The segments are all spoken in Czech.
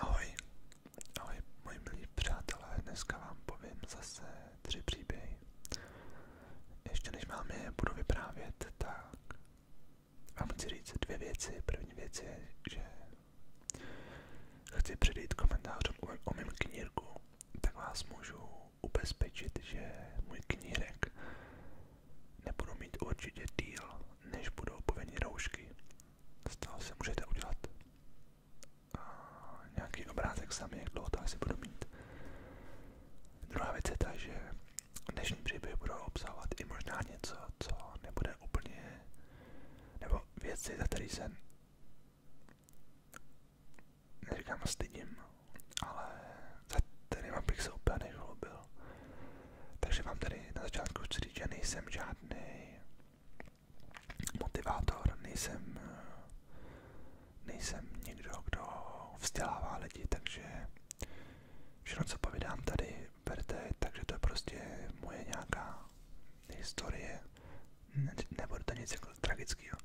Ahoj, ahoj moji milí přátelé, dneska vám povím zase tři příběhy. Ještě než vám je budu vyprávět, tak vám chci říct dvě věci. První věc je, že chci předejít komentářům o mém knírku, tak vás můžu ubezpečit, že můj knírek Nebudu mít určitě díl, než budou povinné roušky. Z toho si můžete udělat uh, nějaký obrázek sami, jak dlouho to asi budu mít. Druhá věc je ta, že dnešní příběhy budou obsahovat i možná něco, co nebude úplně, nebo věci, za které se neříkám stydím, ale za kterýma bych se úplně nechlubil. Takže vám tady na začátku chci říct, že nejsem žádný motivátor, nejsem, nejsem někdo, kdo vzdělává lidi, takže všechno, co povídám tady, berte, takže to je prostě moje nějaká historie, nebude to nic jako tragického,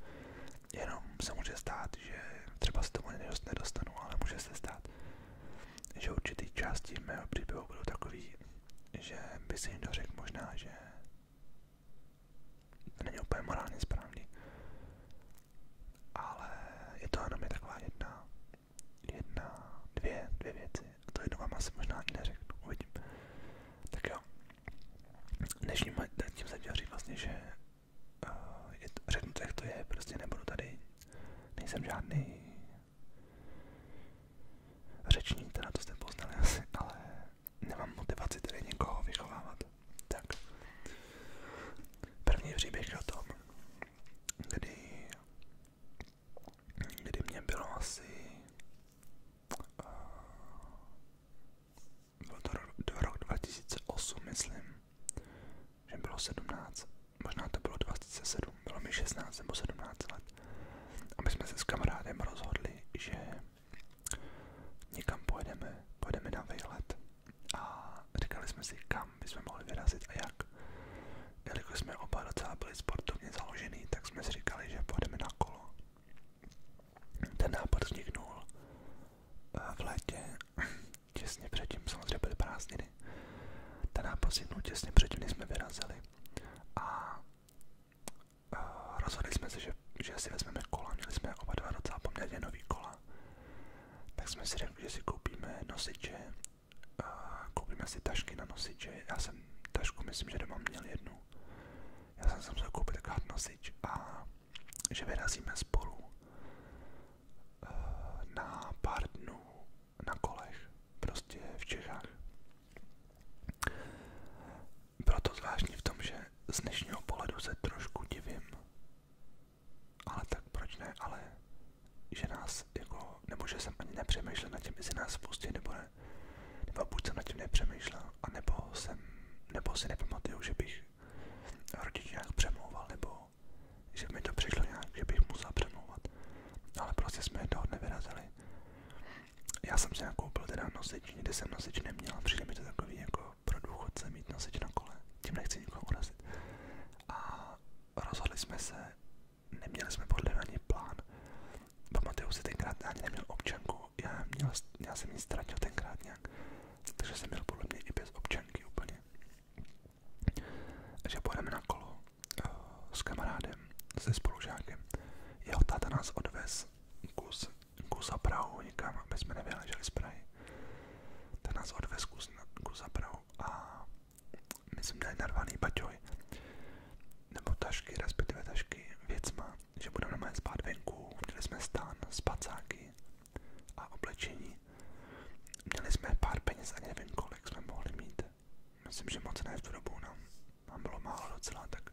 jenom se může stát, stát, že třeba se tomu nedostanu, ale může se stát, že určitý části mého příběhu budou takový, že by si někdo řekl možná, že to není úplně morálně správný, ale je to jenom je taková jedna, jedna, dvě, dvě věci. A to jedno vám asi možná ani neřeknu, uvidím. Tak jo, dnešním tím jsem chtěl říct vlastně, že Eh, je, řeknu to, jak to je, prostě nebudu tady, nejsem žádný řečník, teda to jste poznali asi, ale nemám motivaci tady někoho vychovávat. Tak, první příběh je o tom, kdy, kdy mě bylo asi, uh, eh, byl to rok, rok 2008, myslím, že bylo 17, možná to bylo 27, bylo mi 16 nebo 17 let. A my jsme se s kamarádem rozhodli, že někam pojedeme, pojedeme na výlet. A říkali jsme si, kam bychom mohli vyrazit a jak. Jelikož jsme oba docela byli sportovně založený, tak jsme si říkali, že pojedeme na kolo. Ten nápad vzniknul eh, v létě těsně předtím, samozřejmě byly prázdniny. Ten nápad vzniknul těsně předtím, než jsme vyrazili. A eh, rozhodli jsme se, že, že si vezmeme kola, měli jsme oba dva docela poměrně nový kola. Tak jsme si řekli, že si koupíme nosiče, eh, koupíme si tašky na nosiče. Já jsem tašku, myslím, že doma měl jednu. Já jsem si musel koupit takový nosič a že vyrazíme spolu na pár na kolech, prostě v Čechách. Bylo to v tom, že z dnešního pohledu se trošku divím, ale tak proč ne, ale že nás jako, nebo jsem ani nepřemýšlel nad tím, jestli nás spustí nebo ne, nebo buď jsem nad tím nepřemýšlel, anebo jsem, nebo si nepamatuju, že bych rodič nějak přemlouval, nebo že mi to přišlo nějak, že bych musel přemlouvat. Ale prostě jsme toho nevyrazili. Já jsem si nakoupil teda nosič, nikdy jsem nosič neměl, přijde mi to takový jako pro důchodce mít nosič na kole, tím nechci nikoho urazit. A rozhodli jsme se, neměli jsme podle ani plán. Pamatuju si tenkrát, ani neměl občanku, já, měl, já jsem ji ztratil tenkrát nějak takže jsem měl podle mě i bez občanky úplně. Takže pojedeme na kolo uh, s kamarádem, se spolužákem. Jeho táta nás odvez kus, kus za Prahu někam, aby jsme nevyleželi z Prahy. Ten nás odvez kus, na, kus za Prahu a my jsme měli narvaný baťoj. Nebo tašky, respektive tašky věcma, že budeme normálně spát venku. Měli jsme stán, spacáky, a oblečení. Měli jsme pár peněz, ani nevím kolik jsme mohli mít. Myslím, že moc ne v tu dobu, nám, no. nám bylo málo docela, tak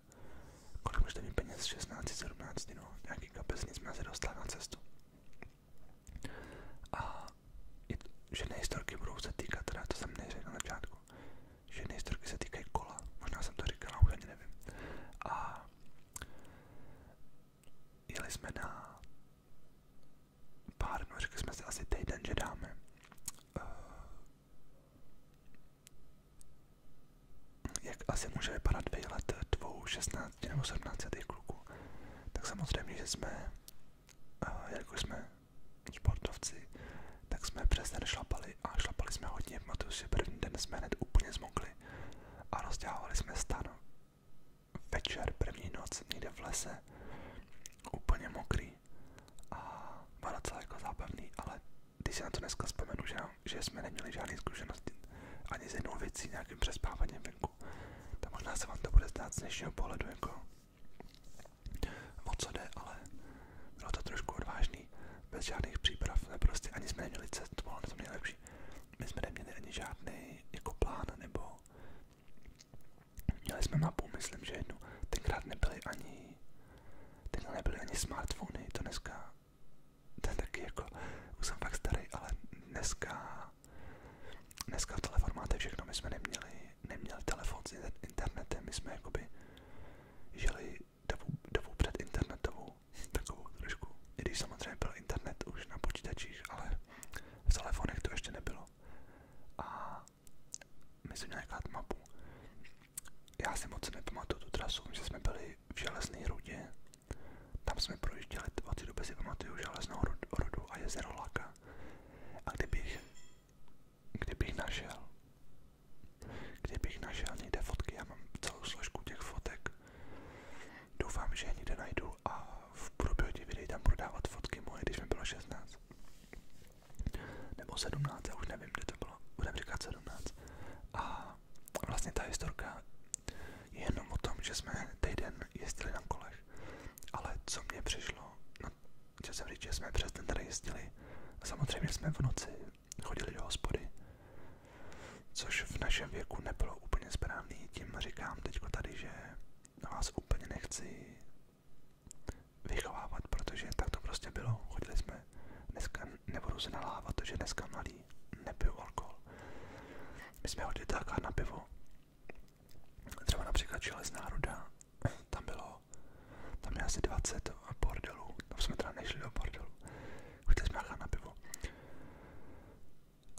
kolik můžete mít peněz, 16, 17, no, nějaký kapesní jsme se dostali na cestu. A je, ženy historky budou se týkat, teda to jsem neřekl na začátku, ženy historky se týkají kola, možná jsem to říkal, už ani nevím. A jeli jsme na pár dnů, řekli jsme si asi týden, že dáme. Uh, jak asi může vypadat výlet dvou 16 nebo 17 kluků, tak samozřejmě, že jsme, uh, jako jsme sportovci, tak jsme přes den šlapali a šlapali jsme hodně. Pamatuju si, první den jsme hned úplně zmokli a rozdělávali jsme stan. Večer, první noc, někde v lese, úplně mokrý a bylo docela jako zábavný, ale když si na to dneska vzpomenu, že, že jsme neměli žádné zkušenosti ani s jednou věcí, nějakým přespáváním venku, tak možná se vám to bude zdát z dnešního pohledu jako o co jde, ale bylo to trošku odvážný, bez žádných příprav, ne prostě ani jsme neměli cestu, to ale to nejlepší my jsme neměli žádný jako plán, nebo měli jsme mapu, myslím, že Tenkrát nebyly ani, tenkrát nebyly ani smartfony, to dneska, to taky jako, jsem fakt starý, ale dneska, dneska v telefon máte my jsme neměli, neměli telefon internetem, my jsme jakoby žili dobu, dobu před internetovou, takovou trošku, i samozřejmě byl internet už na počítačích, ale v telefonech to ještě nebylo. A my jsme mapu. Já si moc nepamatuju tu trasu, že jsme byli v železné rudě, tam jsme projížděli, od té doby si pamatuju a jezero Laka. A našel, kdybych našel někde fotky, já mám celou složku těch fotek Doufám, že je někde najdu a v průběhu videí tam prodávat fotky moje, když mi bylo 16. Nebo 17, já už nevím, kde to bylo, budeme říkat 17. A vlastně ta historka je jenom o tom, že jsme ten den jezdili na kolech, ale co mě přišlo, no, chtěl jsem říct, že jsme přes den tady jezdili, samozřejmě jsme v noci chodili do hospody, což v našem věku nebylo úplně správný, tím říkám teďko tady, že na vás úplně nechci vychovávat, protože tak to prostě bylo, chodili jsme, dneska nebudu se nalávat, protože dneska mladý nepiju alkohol. My jsme hodili tak na pivo, třeba například z národa, tam bylo, tam je asi 20 bordelů, tam jsme teda nešli do bordelu, chodili jsme na pivo.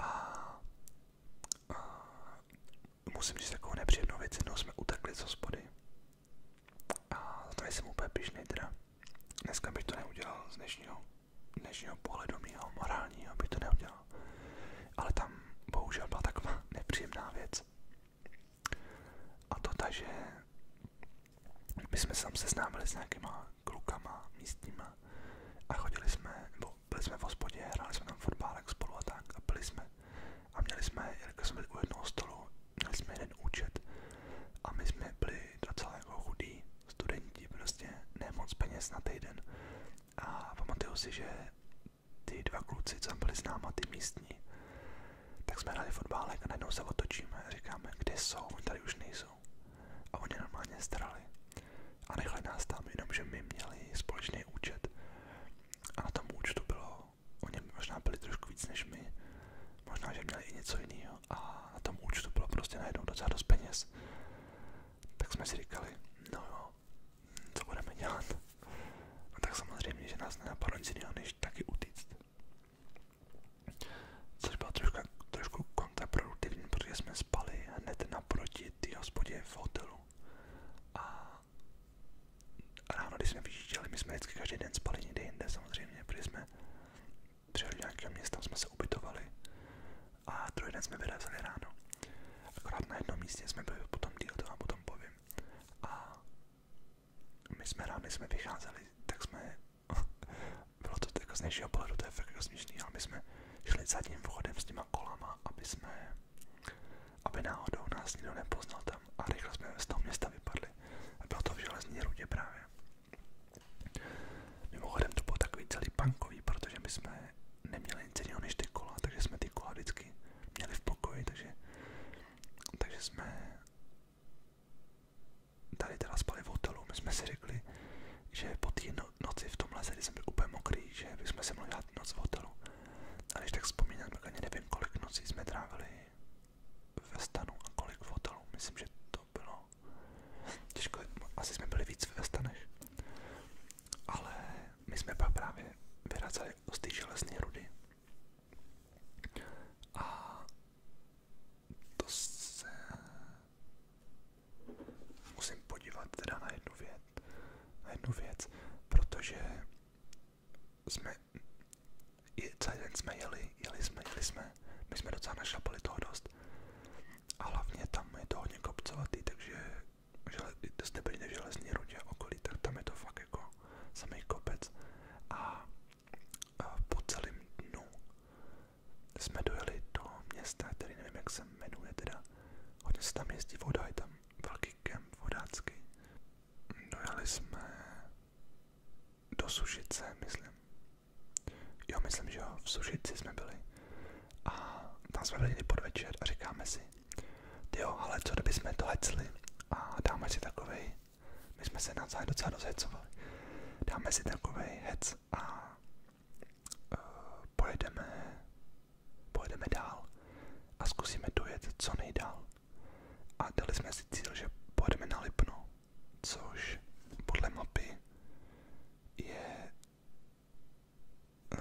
A, musím říct takovou nepříjemnou věc, jednou jsme utekli z hospody. A za jsem úplně pišnej teda. Dneska bych to neudělal z dnešního, dnešního pohledu mýho morálního, bych to neudělal. Ale tam bohužel byla taková nepříjemná věc. A to ta, že my jsme se tam seznámili s nějakýma klukama místníma a chodili jsme, nebo byli jsme v hospodě, hráli jsme tam fotbálek spolu a tak a byli jsme. A měli jsme, jelikož jsme byli u jednoho stolu, měli jsme jeden účet a my jsme byli docela jako chudí studenti, prostě nemoc peněz na týden. A pamatuju si, že ty dva kluci, co tam byli s náma, ty místní, tak jsme hráli fotbálek a najednou se otočíme a říkáme, kde jsou, oni tady už nejsou jsou. A oni normálně strali. A nechali nás tam, jenomže my měli společný účet. A na tom účtu bylo, oni možná byli trošku víc než my, možná, že měli i něco jiného. A na tom účtu bylo prostě najednou docela dost peněz. Tak jsme si říkali, no jo, co budeme dělat? No tak samozřejmě, že nás nenapadlo nic jiného, než taky utíct. Což bylo trošku, trošku kontraproduktivní, protože jsme spali hned naproti té hospodě v hotelu. A ráno, když jsme vyjížděli, my jsme vždycky každý den spali někde jinde samozřejmě, protože jsme přijeli do nějakého města, jsme se ubytovali a druhý den jsme vyrazili ráno. Akorát na jednom místě jsme byli potom díl, to vám potom povím. A my jsme rámy jsme vycházeli, tak jsme, bylo to jako z dnešního pohledu, to je fakt jako směšný, ale my jsme šli zadním vchodem s těma kolama, aby jsme, aby náhodou nás nikdo nepoznal tam a rychle jsme z toho města vypadli. A bylo to v železní rudě právě. Mimochodem to bylo takový celý punkový, protože my jsme neměli nic jiného než ty kola, takže jsme ty kola vždycky měli v pokoji, takže, takže jsme tady teda spali v hotelu, my jsme si řekli, že po té no- noci v tom lese, kdy jsem byl úplně mokrý, že bychom si mohli dát noc v hotelu. A když tak vzpomínám, tak ani nevím, kolik nocí jsme trávili ve stanu a kolik v hotelu. Myslím, že to bylo těžko, asi jsme byli víc ve stanech. Ale my jsme pak právě vyrazili z té železné rudy a to se musím podívat teda na jednu věc, na jednu věc, protože jsme je, celý den jsme jeli, jeli jsme, jeli jsme, my jsme docela našlapali toho dost a hlavně tam je to hodně kopcovatý, takže žele, jste byli v železní rudě okolí, tak tam je to fakt jako samý kopec a po celém dnu jsme dojeli do města, který nevím, jak se jmenuje, teda hodně se tam jezdí voda, je tam velký kemp vodácký. Dojeli jsme do Sušice, myslím. Jo, myslím, že jo, v Sušici jsme byli. A tam jsme byli podvečer a říkáme si, jo, ale co kdyby jsme to hecli a dáme si takovej my jsme se navzájem docela rozhecovali. Dáme si takový hec a uh, pojedeme, pojedeme dál a zkusíme dojet co nejdál. A dali jsme si cíl, že pojedeme na Lipno, což podle mapy je uh,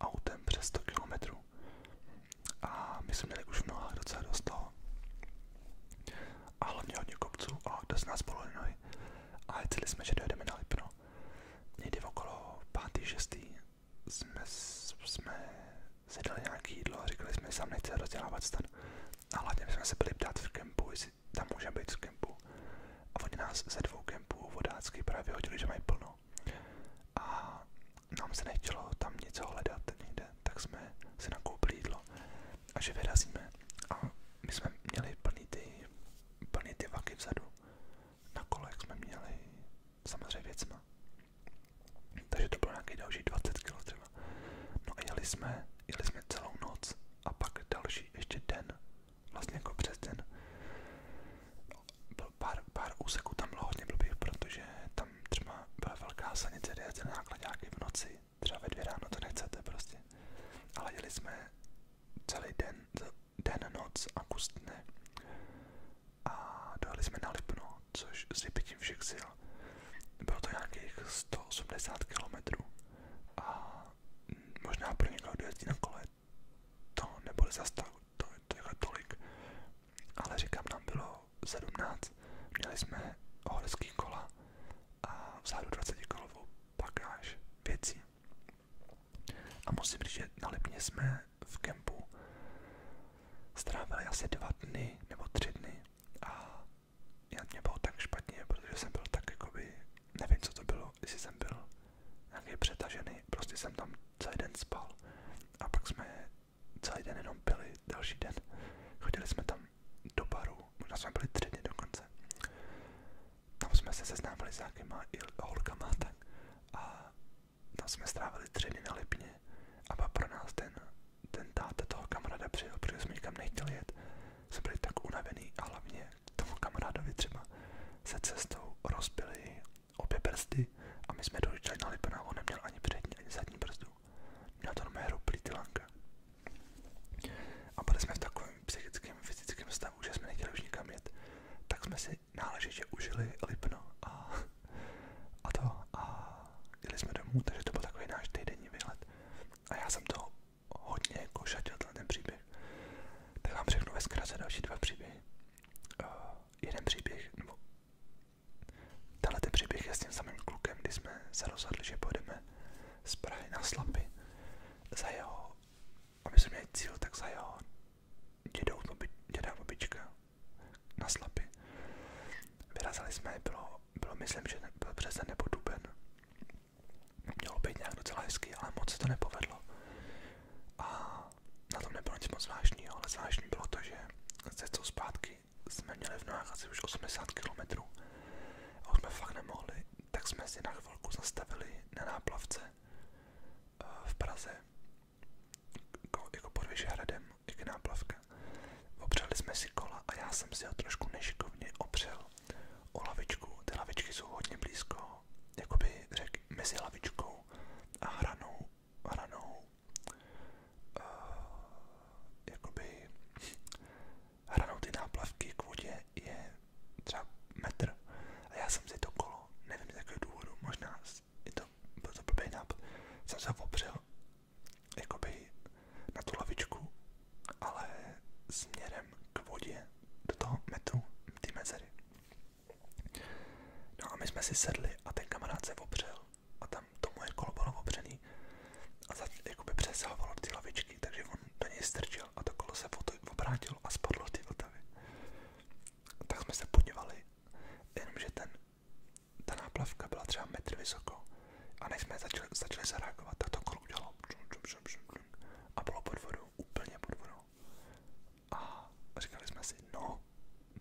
autem přes 100 km. A my jsme měli už mnoha docela dost toho a hlavně hodně kopců a dost nás bylo A jeli jsme, že dojedeme na Lipno. Někdy okolo pátý šestý. jsme, jsme si dali nějaké jídlo a říkali jsme, že sám nechce rozdělávat stan. A hlavně jsme se byli ptát v kempu, jestli tam může být z kempu. A oni nás ze dvou kempů vodácky právě hodili, že mají plno. A nám se nechtělo tam něco hledat nikde den, tak jsme si nakoupili jídlo a že vyrazíme. A my jsme měli plný ty, plný ty vaky vzadu. Na kolech jsme měli samozřejmě věcma. Takže to bylo nějaký další 20 kg třeba. No a jeli jsme, jeli jsme celou noc a pak další ještě den, vlastně jako přes den. Byl pár, pár úseků tam bylo hodně blbých, protože tam třeba byla velká sanice, kde jete nákladňáky v noci, třeba ve dvě ráno, to nechcete prostě. Ale jeli jsme celý den, den, noc a kus dne. A dojeli jsme na Lipno, což s vypitím všech sil. Bylo to nějakých 180 km. A možná pro někoho dojezdí na kole, to nebude zas tak, to, to je jako tolik ale říkám, nám bylo 17, měli jsme horský kola a vzadu 20 kolovou pakáž věcí. A musím říct, že na Lipně jsme v kempu strávili asi dva dny nebo tři dny a já mě bylo tak špatně, protože jsem byl tak jakoby, nevím co to bylo, jestli jsem byl nějaký přetažený, prostě jsem tam celý den spal a pak jsme celý den jenom pili, další den chodili jsme tam do baru, možná jsme byli tři dny dokonce. Tam jsme se seznámili s nějakýma holkama tak, a tam jsme strávili tři dny na Lipně a pak pro nás ten, ten táta toho kamaráda přijel, protože jsme nikam nechtěli jet. Jsme byli tak unavený a hlavně tomu kamarádovi třeba se cestou rozbili obě prsty a my jsme dojížděli na Lipna, on neměl ani přední, ani zadní prstu. Měla to normálně roplý ty lanka. A byli jsme v takovém psychickém, fyzickém stavu, že jsme nechtěli už nikam jet, tak jsme si náležitě užili Lipno a, a to a jeli jsme domů, takže to byl takový náš týdenní výlet. A já jsem to hodně jako šatil ten příběh. Tak vám řeknu ve zkratce další dva příběhy. Uh, jeden příběh, nebo Tenhle příběh je s tím samým klukem, kdy jsme se rozhodli, že pojedeme z Prahy na Slapy za jeho, aby jsme měli cíl, tak za jeho dědou, děda babička na Slapy. Vyrazili jsme, bylo, bylo myslím, že byl březen nebo duben. Mělo být nějak docela hezky, ale moc se to nepovedlo. A na tom nebylo nic moc zvláštního, ale zvláštní bylo to, že se cestou zpátky jsme měli v nohách asi už 80 km a už jsme fakt nemohli, tak jsme si na chvilku zastavili na náplavce eh, v Praze, jako, jako pod Vyšehradem, jak náplavka. Opřeli jsme si kola a já jsem si ho trošku nešikovně opřel o lavičku. Ty lavičky jsou hodně blízko, jakoby řek, mezi lavičkou a hranou, hranou Eh, jakoby hranou ty náplavky k je třeba metr a já jsem si to kolo, nevím z důvodu, možná to, byl to blbý nápad, jsem se opřel na tu ale směrem k do toho metru, ty mezery. No a my jsme si sedli a ten kamarád se opřel a tam to moje kolo bylo opřený a za, jakoby přesahovalo ty lavičky, takže on do něj strčil a to kolo se obrátilo a spadlo ty Vltavy. Tak jsme se podívali, jenomže ten, ta náplavka byla třeba metr vysoko a než jsme začali, začali zareagovat, tak to kolo udělalo a bylo pod vodou, úplně pod vodou. A říkali jsme si, no,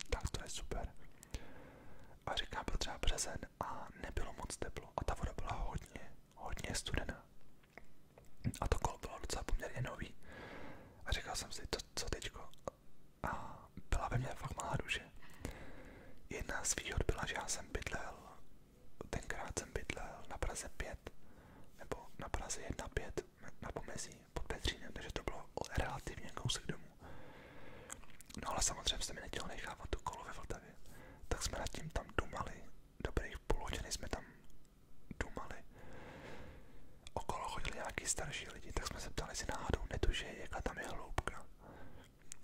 tak to je super. A říkám, byl třeba březen a nebylo moc teplo a ta voda byla hodně, hodně studená. A to kolo bylo docela poměrně nový. A říkal jsem si, to, co teďko? A byla ve mně fakt malá duše. Jedna z výhod byla, že já jsem bydlel, tenkrát jsem bydlel na Praze 5, nebo na Praze 1-5, na pomezí pod Petřínem, to bylo relativně kousek domů. No ale samozřejmě se mi nechtěl nechávat to Vltavě, tak jsme nad tím tam dumali, dobrých půl hodiny jsme tam dumali. Okolo chodili nějaký starší lidi, tak jsme se ptali, jestli náhodou netuže, jaká tam je hloubka.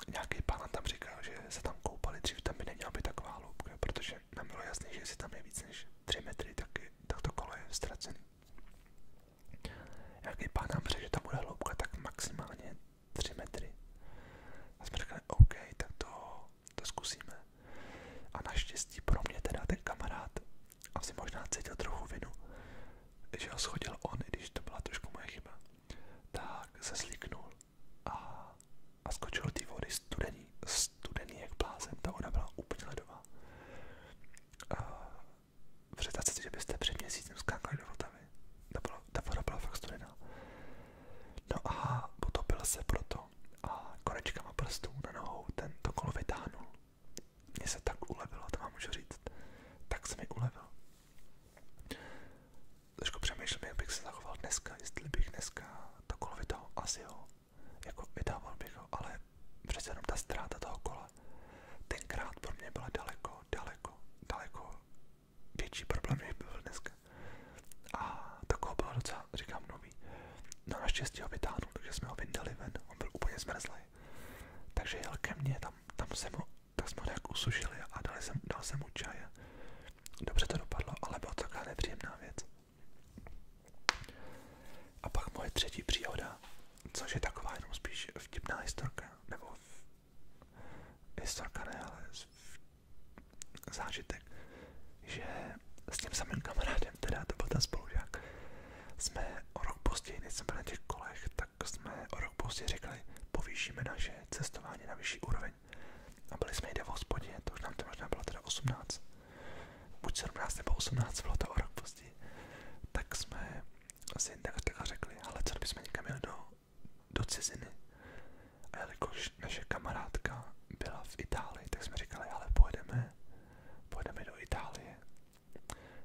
Nějaký pán tam říkal, že se tam koupali dřív, tam by neměla být taková hloubka, protože nám bylo jasné, že jestli tam je víc než 3 metry, tak, tak to kolo je ztracený. Jak i pán nám řekl, že tam bude hloubka tak maximálně 3 metry. A jsme řekli, OK, tak to, to zkusíme. A naštěstí pro mě teda ten kamarád asi možná cítil trochu vinu, že ho schodil on, i když to byla trošku moje chyba, tak se sliknul a, a skočil ty vody studený, studený jak blázen, ta voda byla úplně ledová. A, představte si, že byste před měsícem skákali do Vltavy. Ta, bylo, ta voda byla fakt studená. No a potopil se proto a konečkama prstů na nohou ten to kolo vytáhnul. Mně se tak ulevilo, to vám můžu říct. Tak se mi ulevilo. Trošku přemýšlím, bych se zachoval dneska, jestli bych dneska to kolo vytáhl, asi jo. Jako vydával bych ho, ale přece jenom ta ztráta toho kola, tenkrát pro mě byla daleko, daleko, daleko větší problém, než byl dneska. A takového bylo docela, říkám, nový. No naštěstí ho vytáhnul, takže jsme ho vyndali ven, on byl úplně zmrzlý. Takže jel ke mně, tam, tam jsem ho, tak jsme ho nějak usušili a dal jsem, dal jsem mu čaj. Dobře to dopadlo, ale byla to taková nepříjemná věc. A pak moje třetí příhoda, což je taková jenom spíš vtipná historka, nebo v... historka ne, ale v... zážitek, že s tím samým kamarádem, teda to byl ten spolužák, jsme o rok později, než jsme na těch kolech, tak jsme o rok později řekli, povýšíme naše cestování na vyšší úroveň. A byli jsme jde v hospodě, to už nám to možná bylo teda 18 buď 17 nebo 18, bylo to o rok později, tak jsme si takhle řekli, ale co bychom někam jeli do, do ciziny. A jelikož naše kamarádka byla v Itálii, tak jsme říkali, ale pojedeme, pojedeme do Itálie.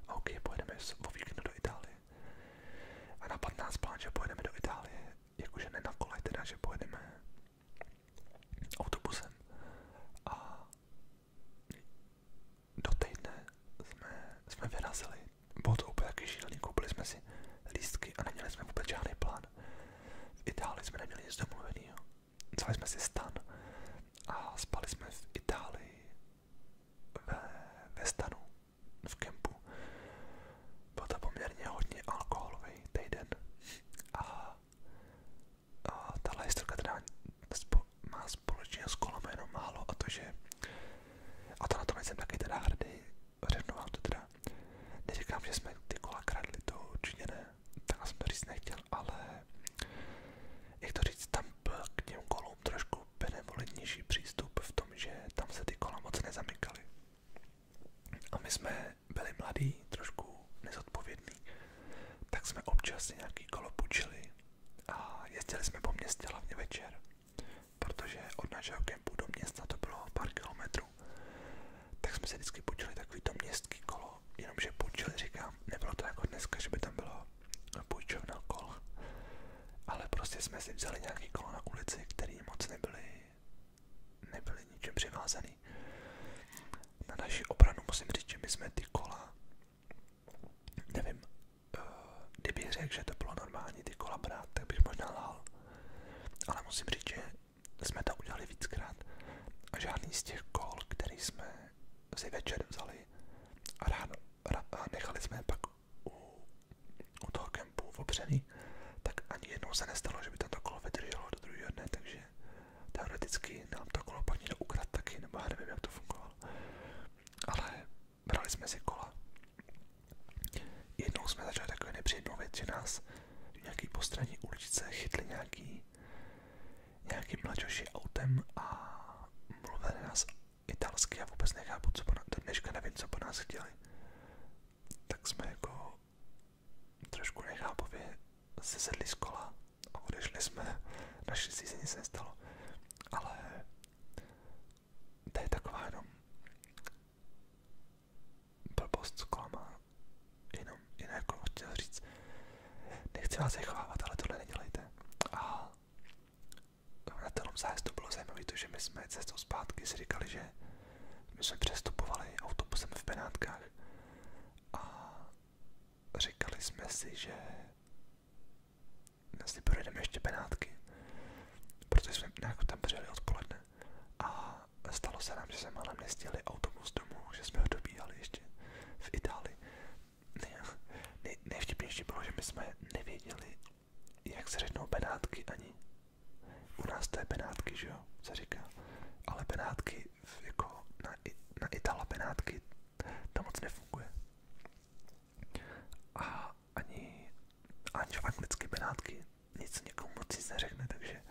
A ok, pojedeme o víkendu do Itálie. A napadl nás plán, že pojedeme do Itálie, jakože ne na kole, teda, že pojedeme autobusem. A do týdne jsme, jsme vyrazili. Bylo to úplně taky šílený, koupili jsme si lístky a neměli jsme vůbec žádný plán. V Itálii jsme neměli nic domluvenýho. Vzali jsme si stan a spali jsme v Itálii ve, ve stanu, v kempu. Byl to poměrně hodně alkoholový týden a a tahle historka teda má společně s kolem jenom málo a to, že a to na to nejsem taky teda hrdý, řeknu vám to teda, neříkám, že jsme ty kola kradli, to určitě ne, tak jsem to říct nechtěl, ale jak to říct, tam byl k těm kolům trošku benevolentnější přístup v tom, že tam se ty kola moc nezamykaly. A my jsme byli mladí, trošku zodpovědný, tak jsme občas nějaký kolo půjčili a jezdili jsme po městě hlavně večer, protože od našeho kempu do města to bylo pár kilometrů, tak jsme se vždycky půjčili takový takovýto městský kolo, jenomže půjčili, říkám, nebylo to jako dneska, že by tam bylo půjčovna kol, ale prostě jsme si vzali nějaký kolo na ulici, který moc nebyly, nebyly ničem přivázaný na naši obranu musím říct, že my jsme ty kola, nevím, eh, kdybych řekl, že to bylo normální ty kola brát, tak bych možná lhal. Ale musím říct, že jsme to udělali víckrát a žádný z těch kol, který jsme si večer vzali a, ráno, a nechali jsme je pak u, u toho kempu v opřený, tak ani jednou se nestalo, že by tato kolo vydrželo do druhého dne, takže teoreticky nám to kolo pak někdo ukradl taky, nebo já nevím, jak to fungovalo. Ale brali jsme si kola. Jednou jsme začali takový nepříjemnou věc, že nás v nějaký postraní uličce chytli nějaký, nějaký mlačoši autem a mluvili nás italsky a vůbec nechápu, co po nás, do dneška nevím, co po nás chtěli. Tak jsme jako trošku nechápově sesedli z kola a odešli jsme, naši si se nic nestalo, ale to je taková jenom blbost zklama, jenom, jenom jako chtěl říct, nechci vás vychovávat, ale tohle nedělejte. A na tom zájezdu bylo zajímavé to, že my jsme cestou zpátky si říkali, že my jsme přestupovali autobusem v penátkách. a říkali jsme si, že si projedeme ještě penátky, protože jsme nějak tam přijeli odpoledne a stalo se nám, že jsme málem nestihli autobus domů, že jsme ho dobíhali ještě v Itálii. Nej, nej, nejvtipnější bylo, že my jsme nevěděli, jak se řeknou Benátky ani. U nás to je Benátky, že jo, se říká. Ale penátky jako na, na Benátky tam moc nefunguje. A ani, anglické Benátky nic někomu moc nic neřekne, takže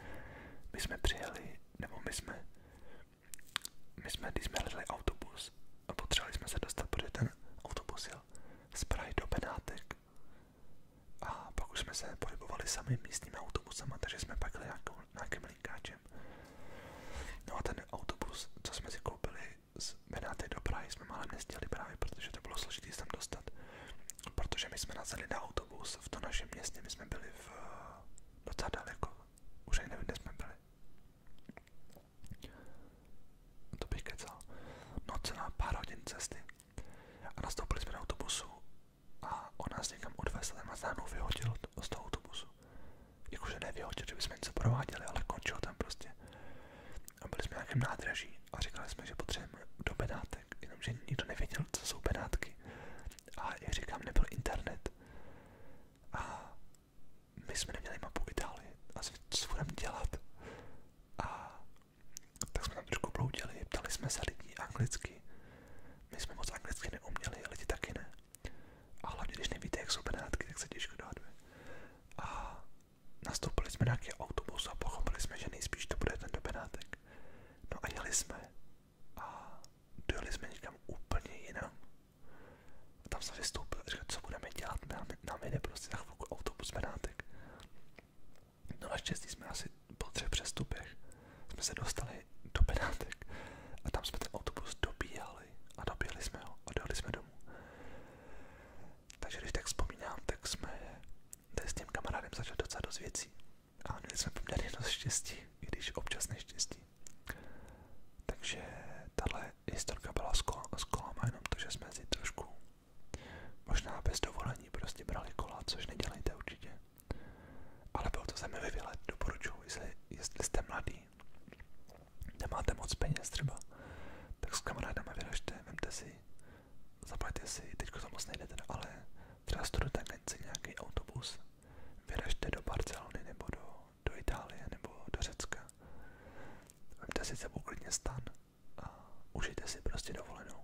my jsme nebo my jsme, my jsme, když jsme hledali a potřebovali jsme se dostat, protože ten autobus jel z Prahy do Benátek a pak jsme se pohybovali sami místním autobusem, takže jsme pak jeli nějakou, nějaké všem. No a ten autobus, co jsme si koupili z Benátek do Prahy, jsme málem nestihli právě, protože to bylo složité tam dostat. Protože my jsme nazeli na autobus v tom našem městě, my jsme byli v eh, docela daleko, už ani nevím, kde jsme byli. To bych kecal. No celá pár hodin cesty. A nastoupili jsme do autobusu a on nás někam odvezl, ten nás najednou vyhodil z toho autobusu. Jakože nevyhodil, že bychom něco prováděli, ale končil tam prostě. A byli jsme na nějakém nádraží a říkali jsme, že potřebujeme do Benátek, jenomže nikdo nevěděl, co jsou Benátky. A jak říkám, nebyl internet. A my jsme neměli mapu Itálie a co budeme dělat. A tak jsme tam trošku bloudili, ptali jsme se lidí anglicky my jsme moc anglicky neuměli, ale lidi taky ne. A hlavně, když nevíte, jak jsou Benátky, tak se těžko dohaduje. A nastoupili jsme na nějaký autobus a pochopili jsme, že nejspíš to bude ten do Benátek. No a jeli jsme. A dojeli jsme někam úplně jinam. A tam se vystoupil a říkal, co budeme dělat, nám, nám jde prostě za chvilku autobus Benátek. No a naštěstí jsme asi po třech přestupech jsme se dostali do Benátek a tam jsme ten autobus dobíjali a dobíjeli jsme ho a dojeli jsme domů. Takže když tak vzpomínám, tak jsme tady s tím kamarádem začali docela dost věcí a měli jsme poměrně dost štěstí, i když občas neštěstí. Takže tahle historka byla s, kol- s kolama jenom to, že jsme si trošku možná bez dovolení prostě brali kola, což nedělejte určitě. Ale byl to zemi vyvělet, doporučuji, jestli, jestli jste mladý, nemáte moc peněz třeba, tak s kamarádama vyražte, vemte si, zaplaťte si, teďko to moc nejde teda, ale třeba studujte si nějaký autobus, vyražte do Barcelony nebo do, do Itálie nebo do Řecka, vemte si sebou klidně stan a užijte si prostě dovolenou.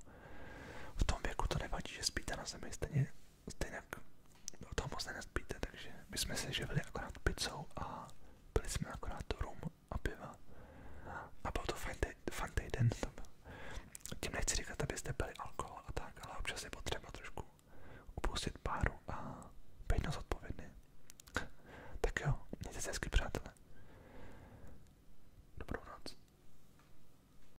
V tom věku to nevadí, že spíte na zemi, stejně stejně o toho moc nenazbíte, takže my jsme se živili akorát pizzou a byli jsme akorát rum a piva. A byl to fun týden, to byl. Tím nechci říkat, abyste pili alkohol a tak, ale občas je potřeba trošku upustit páru a být na zodpovědný. Tak jo, mějte se hezky, přátelé. Dobrou noc.